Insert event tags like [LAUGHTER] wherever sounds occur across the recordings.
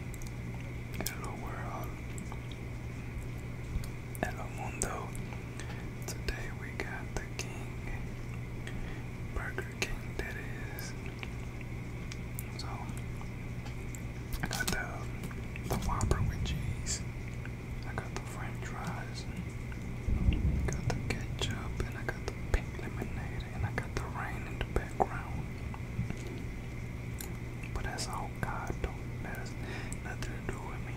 Hello world. Hello mundo. Today we got the King Burger King that is. So I got the the Whopper with cheese. I got the French fries. got the ketchup and I got the pink lemonade and I got the rain in the background. But that's all God do That has nothing to do with me.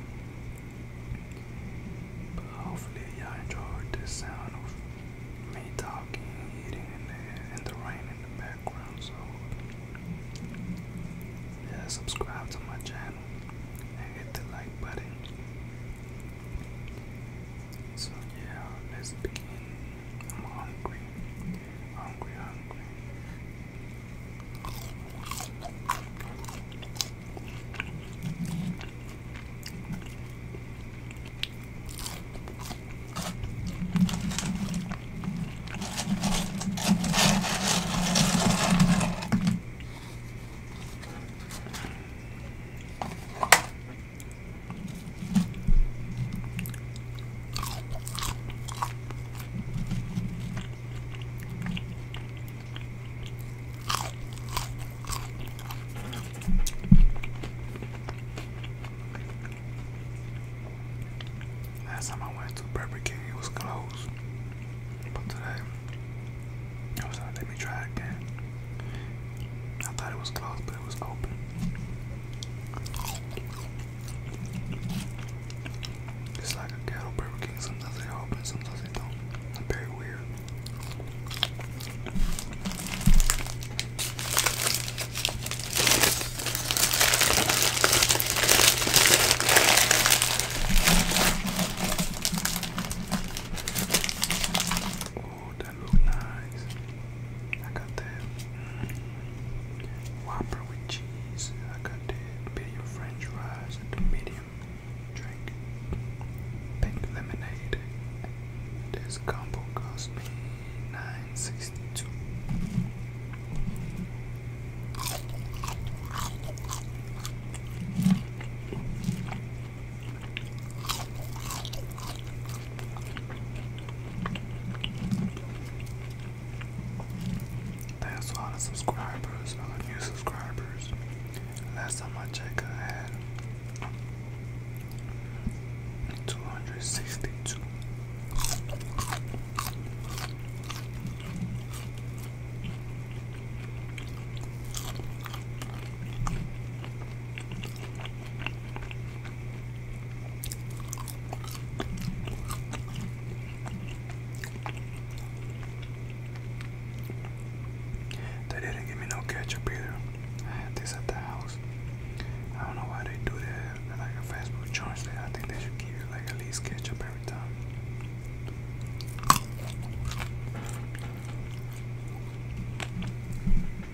But hopefully y'all enjoyed the sound of me talking, eating, and the, rain in the background. So yeah, subscribe to my channel and hit the like button. So yeah, let's begin. I'm hungry. Hungry, hungry. Last time I went to Burger King, it was closed. But today, I was like, let me try again. I thought it was closed, but it was open. It's like a ghetto Burger King. Sometimes they open, sometimes they don't. very weird. Oh, that looks nice. I got that mm-hmm. Whopper with cheese. I got that medium French fries and the medium drink. Pink lemonade. This combo cost me nine sixty two. That's a lot of subscribers, a lot of new subscribers. Last time I checked, I had 262. They didn't give me no ketchup either. I had this at the house. I don't know why they do that. They're like a fast food joint. I think they should give you like at least ketchup every time.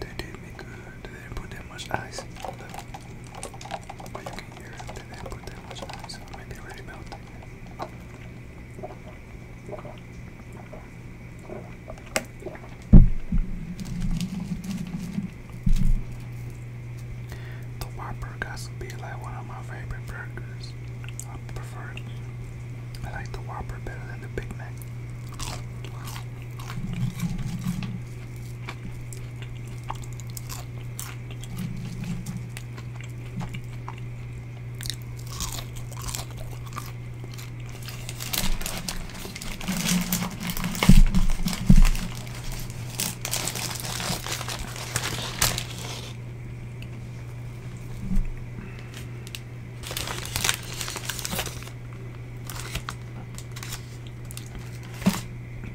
They did me good. They put that much ice. Look. you hear it. They put that much ice. I mean, already melted. The Whopper has to be like one of my favorite burgers. I prefer it. I like the Whopper better than the Big Mac.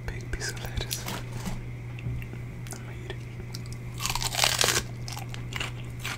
Big piece of lettuce. I'm gonna eat it.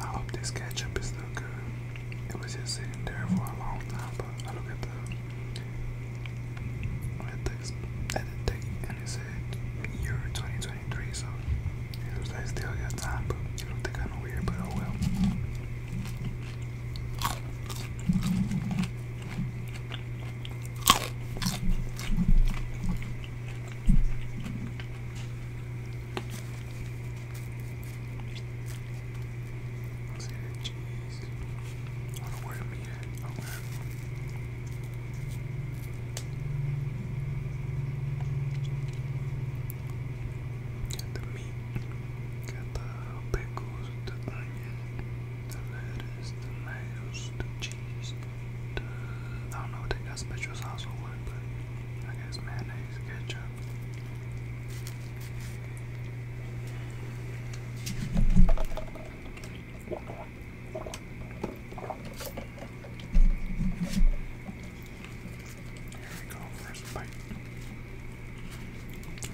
I hope this ketchup is still good. It was just sitting there for a long time, but I look at the at the, at the thing and it said year 2023, so it looks like still got time, but it looked kind of weird, but oh well. Let's see that cheese. I don't know where to meet at. Okay. Got the meat, got the pickles, the onion the lettuce, tomatoes, the cheese, the, I don't know what they got special sauce or what, but I guess mayonnaise, ketchup. Here we go, first bite.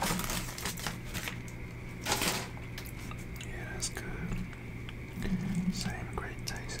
Yeah, that's good. Same great taste.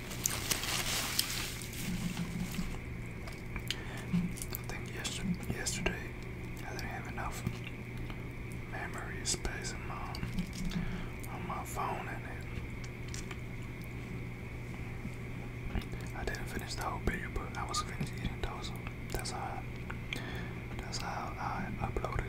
I think yesterday, I didn't have enough memory space in my, on my phone and it, I didn't finish the whole video but I was finished eating those that's how that's how I uploaded it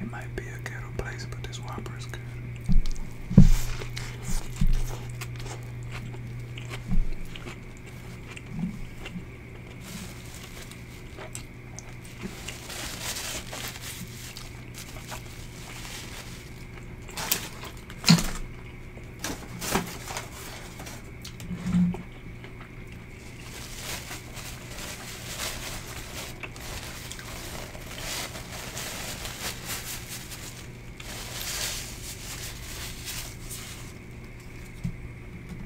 It might be a ghetto place, but this Whopper is good.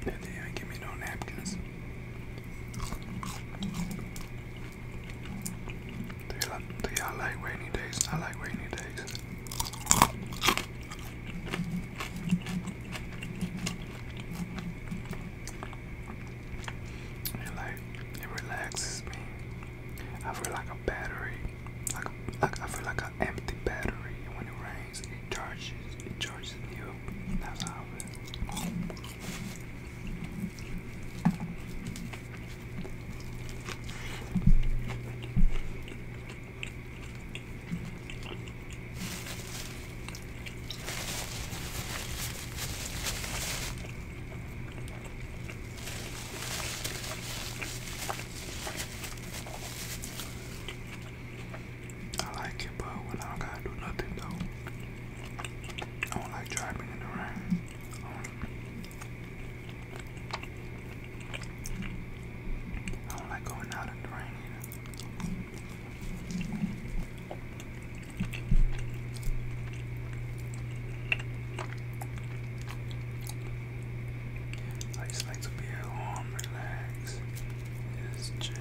They give me no napkins. Do y'all like rainy days? I like rainy days. It relaxes me. I feel like a battery, like like I feel like an empty battery. And when it rains, it charges. It charges me up. That's how I I like it, but when I don't gotta do nothing though, I don't like driving in the rain. I don't like going out in the rain either. I just like to be at relax, just chill.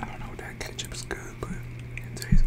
I don't know, that ketchup's good, but it tastes good.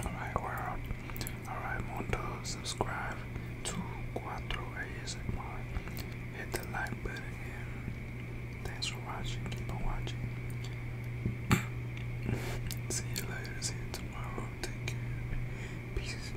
Alright, world. Alright, Mundo, subscribe to Quattro ASMR. Hit the like button thanks for watching. Keep on watching. [COUGHS] see you later. See you tomorrow. Take care. Peace.